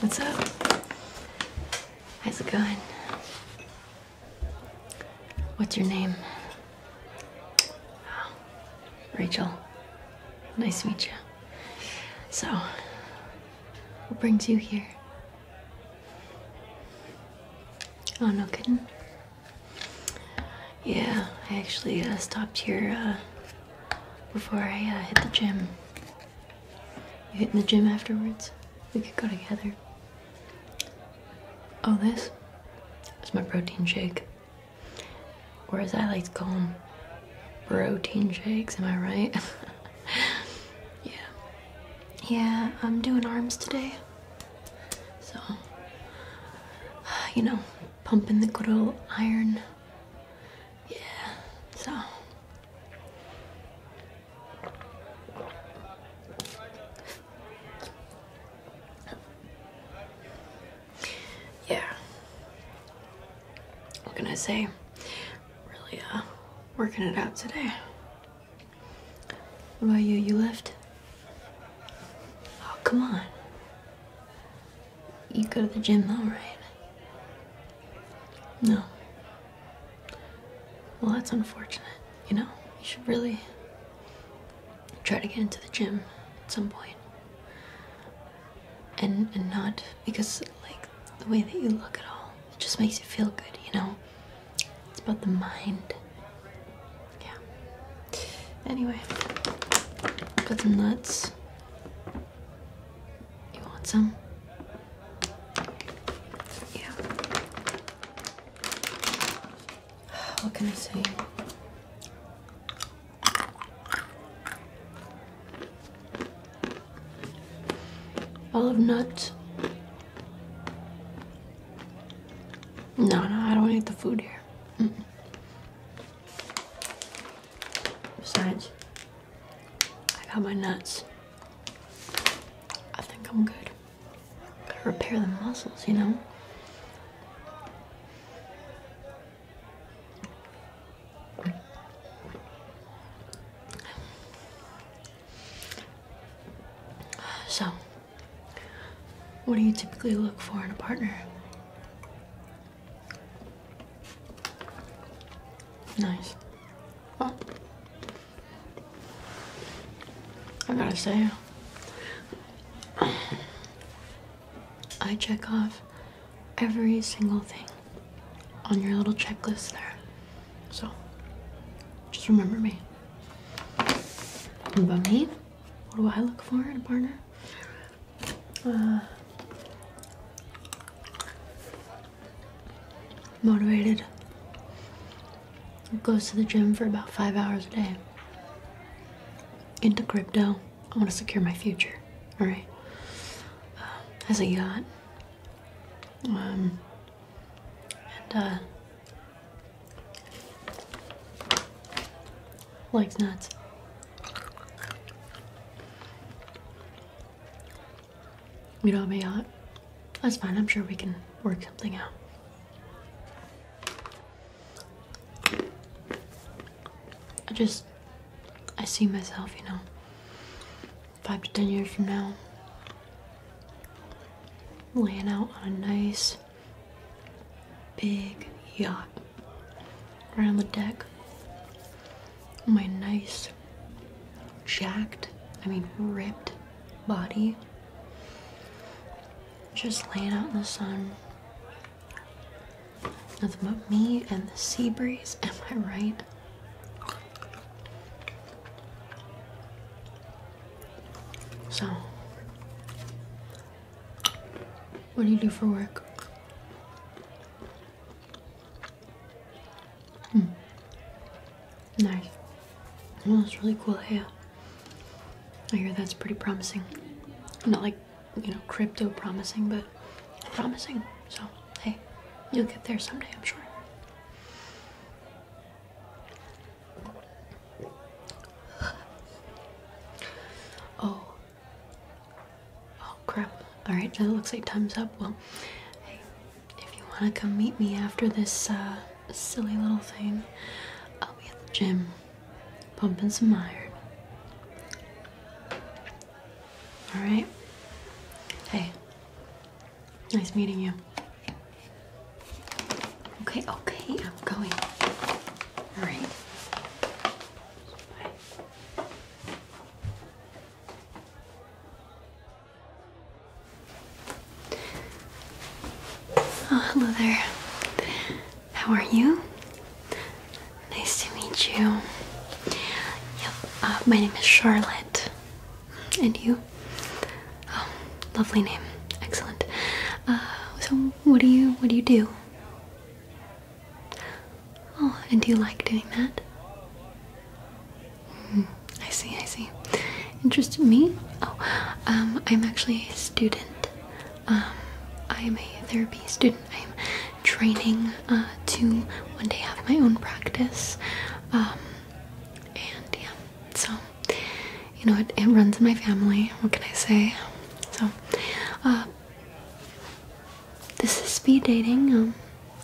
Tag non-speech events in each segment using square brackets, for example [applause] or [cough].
What's up? How's it going? What's your name? Rachel. Nice to meet you. So, what brings you here? Oh, no kidding? Yeah, I actually uh, stopped here uh, before I uh, hit the gym. You hit in the gym afterwards? We could go together. Oh, this is my protein shake. Where's I like going? protein shakes, am I right? [laughs] yeah. Yeah, I'm doing arms today. So, you know, pumping the good old iron. Yeah, so. Yeah. What can I say? Really, uh, working it out today. What about you? You left? Oh, come on. You go to the gym all right? No. Well, that's unfortunate. You know, you should really try to get into the gym at some And and not because like the way that you look at all, it just makes you feel good, you know? It's about the mind yeah. Anyway, got some nuts. You want some? Yeah. [sighs] What can I say? Olive nuts. No, no, I don't eat the food here. Mm I got my nuts. I think I'm good. Gotta repair the muscles, you know? So. What do you typically look for in a partner? Nice. I gotta say, I check off every single thing on your little checklist there. So, just remember me. About me, what do I look for in a partner? Uh, motivated. Goes to the gym for about five hours a day. Into crypto. I want to secure my future. All right. Uh, um, has a yacht. Um, and uh, Likes nuts. You don't have a yacht? That's fine. I'm sure we can work something out. I just, I see myself, you know, five to ten years from now, laying out on a nice big yacht right on the deck. My nice, jacked, I mean, ripped body just laying out in the sun. Nothing but me and the sea breeze, [laughs] am I right? So, what do you do for work? Hmm. Nice. Well, that's really cool hair. I hear that's pretty promising. Not like, you know, crypto promising, but promising. So, hey, you'll get there someday, I'm sure oh. Oh crap. Alright, it looks like time's up. Well, if you want to come meet me after this uh, silly little thing, I'll be at the gym pumping some iron. Alright? Hey, nice meeting you. Okay, okay, I'm going. All right. Oh, hello there. How are you? Nice to meet you. Yep, uh, my name is Charlotte. And you? Oh, lovely name. Excellent. Uh, so, what do you what do you do? Oh, and do you like doing that? Hmm, I see, I see. Interest in me? Oh, um, I'm actually a student. I am um, a therapy student. I am training uh, to one day have my own practice. Um, and yeah, so, you know, it runs in my family. What can I say? So, uh, this is speed dating. Um,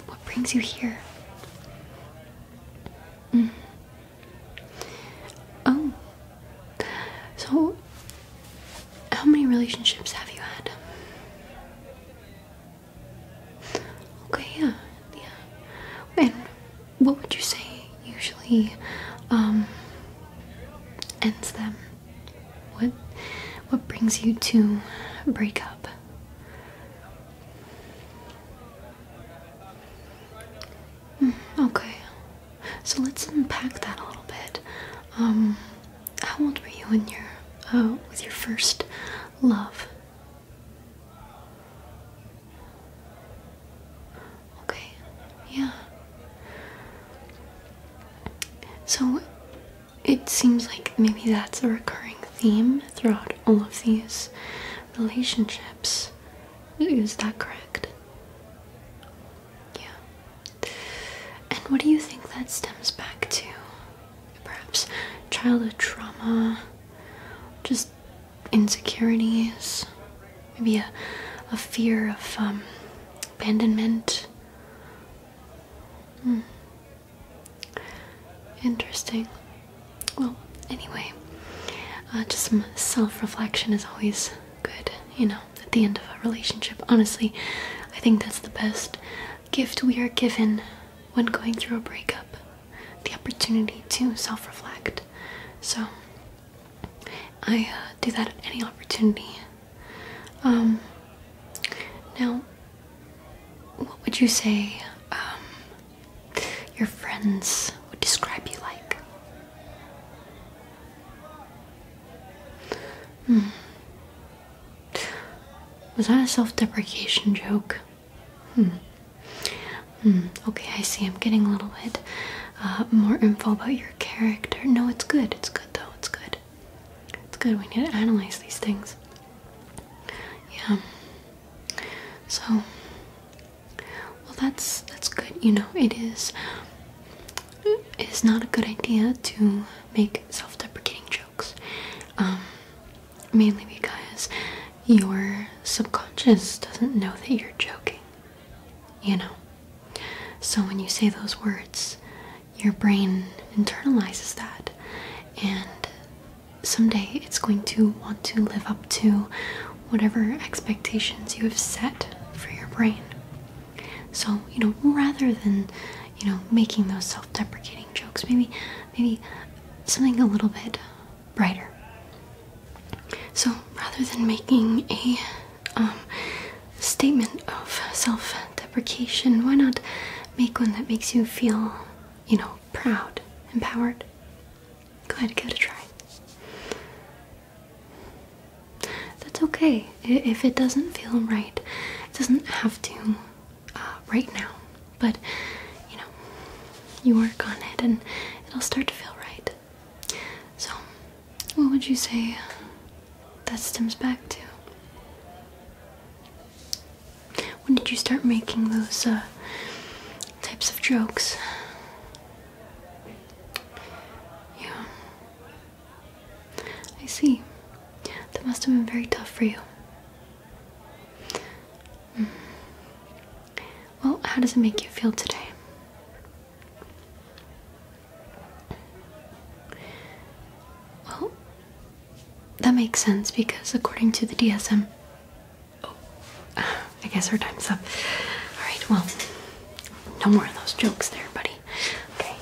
what brings you here? Mm. Oh, so how many relationships have you had? Okay, yeah, yeah. And what would you say usually um, ends them? What what brings you to break up? Hmm, okay. So let's unpack that a little bit. Um how old were you when you, uh with your first love? Okay, yeah. So it seems like maybe that's a recurring theme throughout all of these relationships. Is that correct? Yeah. And what do you think that stems back to? Perhaps childhood trauma, just insecurities, maybe a, a fear of um, abandonment. Hmm. Interesting. Well, anyway, uh, just some self reflection is always good, you know, at the end of a relationship. Honestly, I think that's the best gift we are given when going through a breakup the opportunity to self reflect. So, I uh, do that at any opportunity. Um, now, what would you say um, your friends would describe you like? Hmm. Was that a self deprecation joke? Hmm. Hmm. Okay, I see. I'm getting a little bit uh, more info about your character. No, it's good. It's good though. It's good. It's good. We need to analyze these things. Yeah. So, well, that's that's good. You know, it is. It is not a good idea to make self-deprecating jokes. Um, mainly because your subconscious doesn't know that you're joking. You know. So when you say those words, your brain internalizes that, and someday it's going to want to live up to whatever expectations you have set for your brain. So, you know, rather than, you know, making those self-deprecating jokes, maybe maybe something a little bit brighter. So, rather than making a um, statement of self deprecation, why not make one that makes you feel, you know, proud, empowered? Go ahead, give it a try. That's okay. If it doesn't feel right, it doesn't have to uh, right now. But, you know, you work on it and it'll start to feel right. So, what would you say that stems back to? When did you start making those uh, types of jokes? Yeah. I see. That must have been very tough for you. Hmm. Well, how does it make you feel today? Well, that makes sense because according to the DSM. Oh, [sighs] I guess our time's up. Alright, well, no more of those jokes there, buddy. Okay.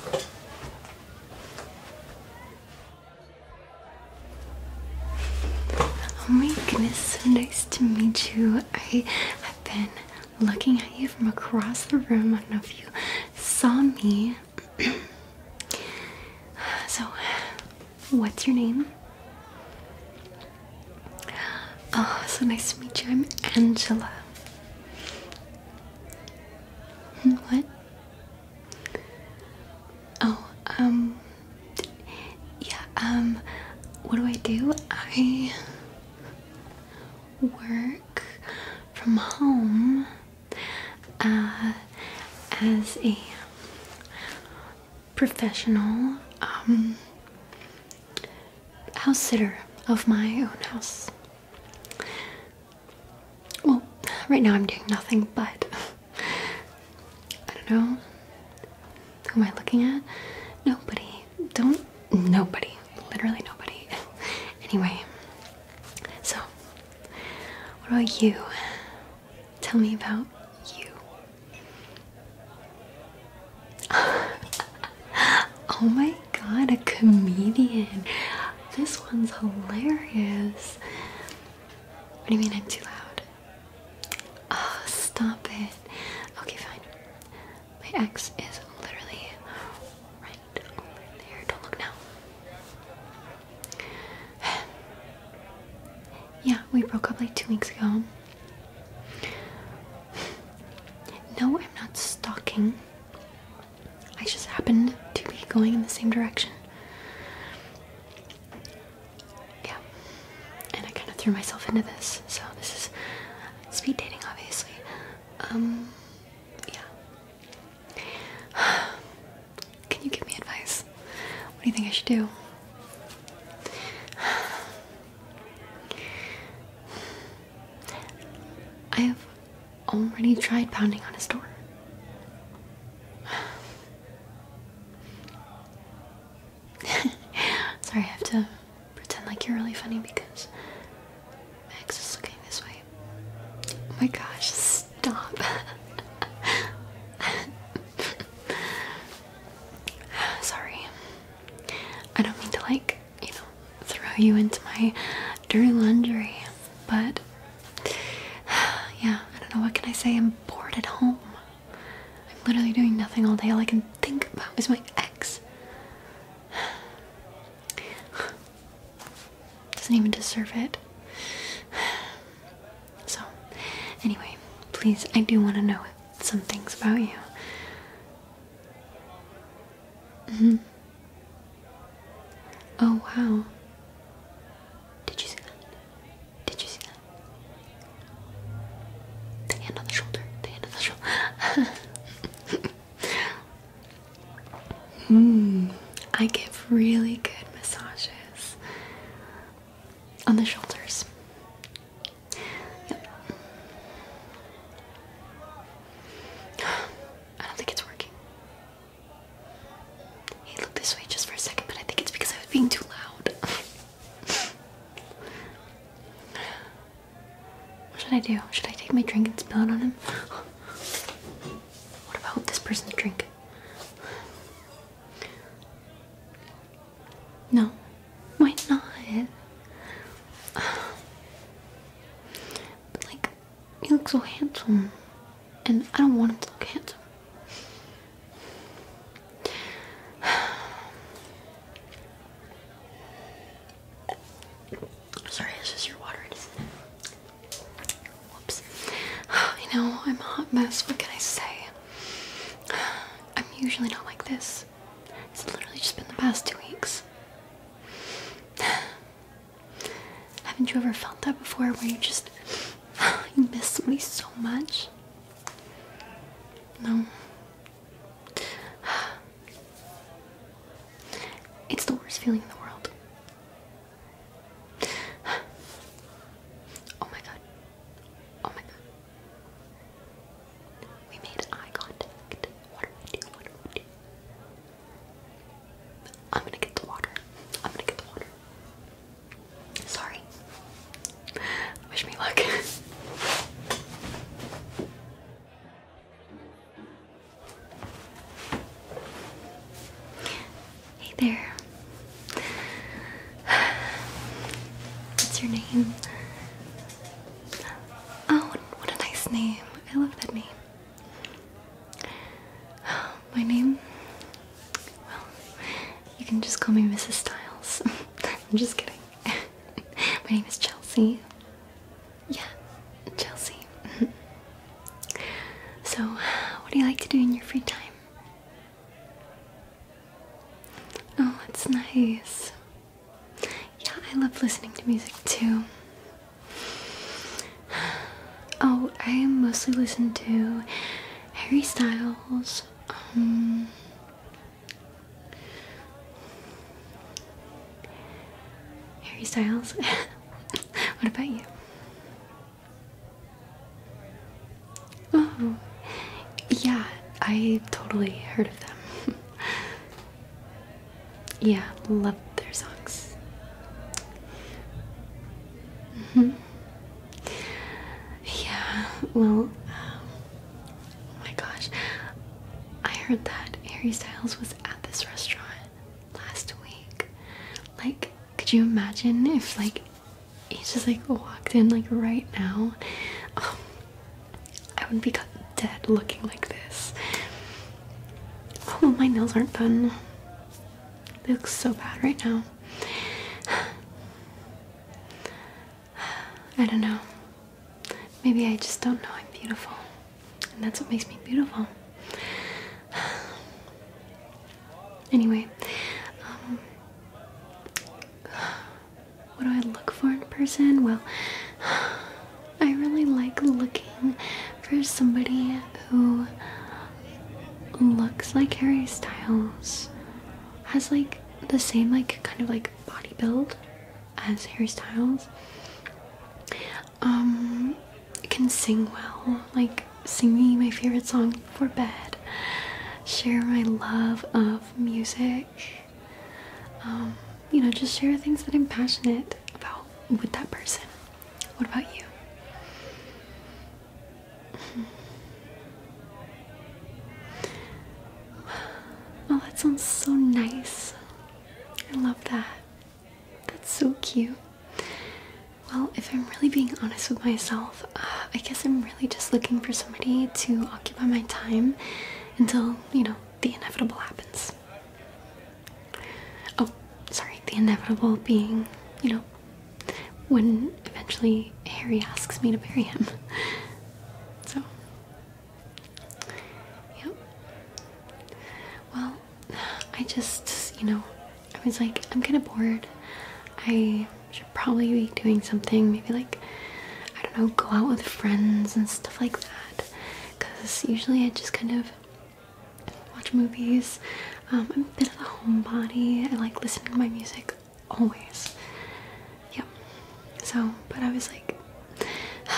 Oh my goodness, so nice to meet you. I have been looking at you from across the room. I don't know if you saw me. [clears throat] so, what's your name? Oh, so nice to meet you. I'm Angela. Hmm, what? Oh, um, yeah, um, what do I do? I work from home uh, as a professional um, house sitter of my own house. Well, right now I'm doing nothing but. I don't know. Who am I looking at? Nobody. Don't. Nobody literally nobody. [laughs] anyway, so what about you? Tell me about you. [laughs] oh my god, a comedian. This one's hilarious. What do you mean I'm too loud? Oh, stop it. Okay, fine. My ex is literally right over there. Don't look now. [sighs] yeah, we broke up like two weeks ago. [sighs] No, I'm not stalking. I just happened to be going in the same direction. Yeah. And I kind of threw myself into this, so this is speed dating, obviously. Um, yeah. [sighs] Can you give me advice? What do you think I should do? I [sighs] have already tried pounding on his door. [sighs] Sorry, I have to pretend like you're really funny because Max is looking this way. Oh my gosh, stop. [laughs] Sorry. I don't mean to, like, you know, throw you into my dirty laundry, but [sighs] yeah, I don't know. What can I say? I'm bored at home. I'm literally doing nothing all day. All I can think about is my ex. [sighs] Doesn't even deserve it. So, anyway, please, I do want to know some things about you. Mm-hmm. Oh, wow. Did you see that? Did you see that? The hand on the shoulder. The hand on the shoulder. [laughs] Mm, I give really good massages on the shoulders. Yep. I don't think it's working. He looked this way just for a second, but I think it's because I was being too loud. [laughs] what should I do? Should I take my drink and spill it on him? What about this person's drink? No, why not? But like, he looks so handsome, and I don't want him to look handsome. Sorry, it's just your water. Whoops. I [sighs] know, I'm a hot mess. What can I say? [sighs] I'm usually not like this. It's literally just been the past two weeks. [sighs] Haven't you ever felt that before where you just you miss somebody so much? No. It's the worst feeling in the world. Oh my god. Oh my god. We made eye contact. What do we do? What do we do? I'm gonna get the water. I'm gonna get the water. Sorry. Wish me luck. [laughs] Hey there. What's your name? Oh, what a nice name. I love that name. [gasps] My name? Well, you can just call me Mrs. Styles. [laughs] I'm just kidding. [laughs] My name is Chelsea. Yeah, Chelsea. [laughs] so, what do you like to do in your free time? Oh, that's nice. Yeah, I love listening to music too. [sighs] Oh, I mostly listen to Harry Styles. Um, Harry Styles. [laughs] what about you? Oh, yeah, I totally heard of them. [laughs] yeah, love their songs. Mm-hmm. Yeah, well, um, oh my gosh, I heard that Harry Styles was at this restaurant last week. Like, could you imagine if like he just like walked in like right now? Um, I would be dead looking like this. Oh, my nails aren't done. They look so bad right now. [sighs] I don't know. Maybe I just don't know I'm beautiful. And that's what makes me beautiful. Anyway, um, what do I look for in person? Well, I really like looking for somebody who looks like Harry Styles, has like the same like kind of like body build as Harry Styles um, can sing well, like sing me my favorite song for bed, share my love of music, um, you know, just share things that I'm passionate about with that person. What about you? Hmm. Oh, that sounds so nice. I love that. That's so cute. Well, if I'm really being honest with myself, uh, I guess I'm really just looking for somebody to occupy my time until, you know, the inevitable happens. Oh, sorry, the inevitable being, you know, when eventually Harry asks me to marry him. [laughs] So, yep. Well, [sighs] I just, you know, I was like, I'm kind of bored. I should probably be doing something, maybe like, I don't know, go out with friends and stuff like that. Because usually I just kind of watch movies. Um, I'm a bit of a homebody. I like listening to my music always. Yep. So, but I was like, [sighs]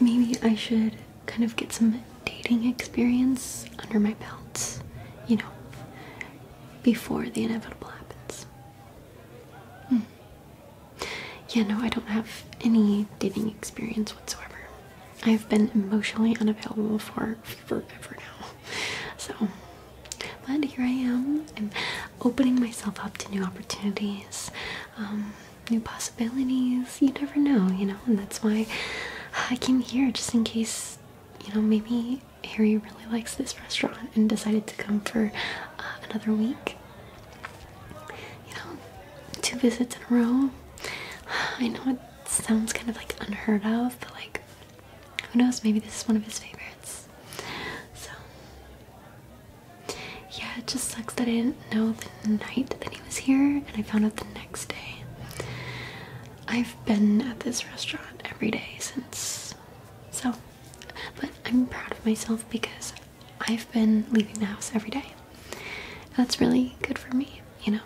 maybe I should kind of get some dating experience under my belt, you know, before the inevitable happens. Hmm. Yeah, no, I don't have any dating experience whatsoever. I've been emotionally unavailable for forever now. So, but here I am. I'm opening myself up to new opportunities. Um, new possibilities. You never know, you know, and that's why I came here just in case, you know, maybe Harry really likes this restaurant and decided to come for uh, another week. You know, two visits in a row. [sighs] I know it sounds kind of like unheard of, but like, who knows, maybe this is one of his favorites. So, yeah, it just sucks that I didn't know night that he was here, and I found out the next day. I've been at this restaurant every day since. So, but I'm proud of myself because I've been leaving the house every day. That's really good for me, you know.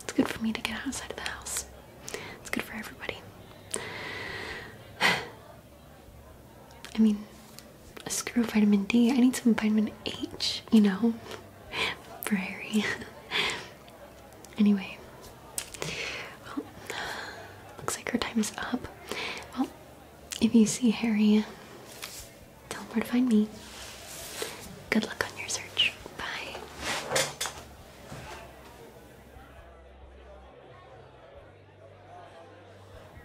It's good for me to get outside of the house. It's good for everybody. [sighs] I mean, screw vitamin D. I need some vitamin H, you know, for Harry. [laughs] anyway, well, looks like her time is up. Well, if you see Harry, tell him where to find me. Good luck on your search. Bye.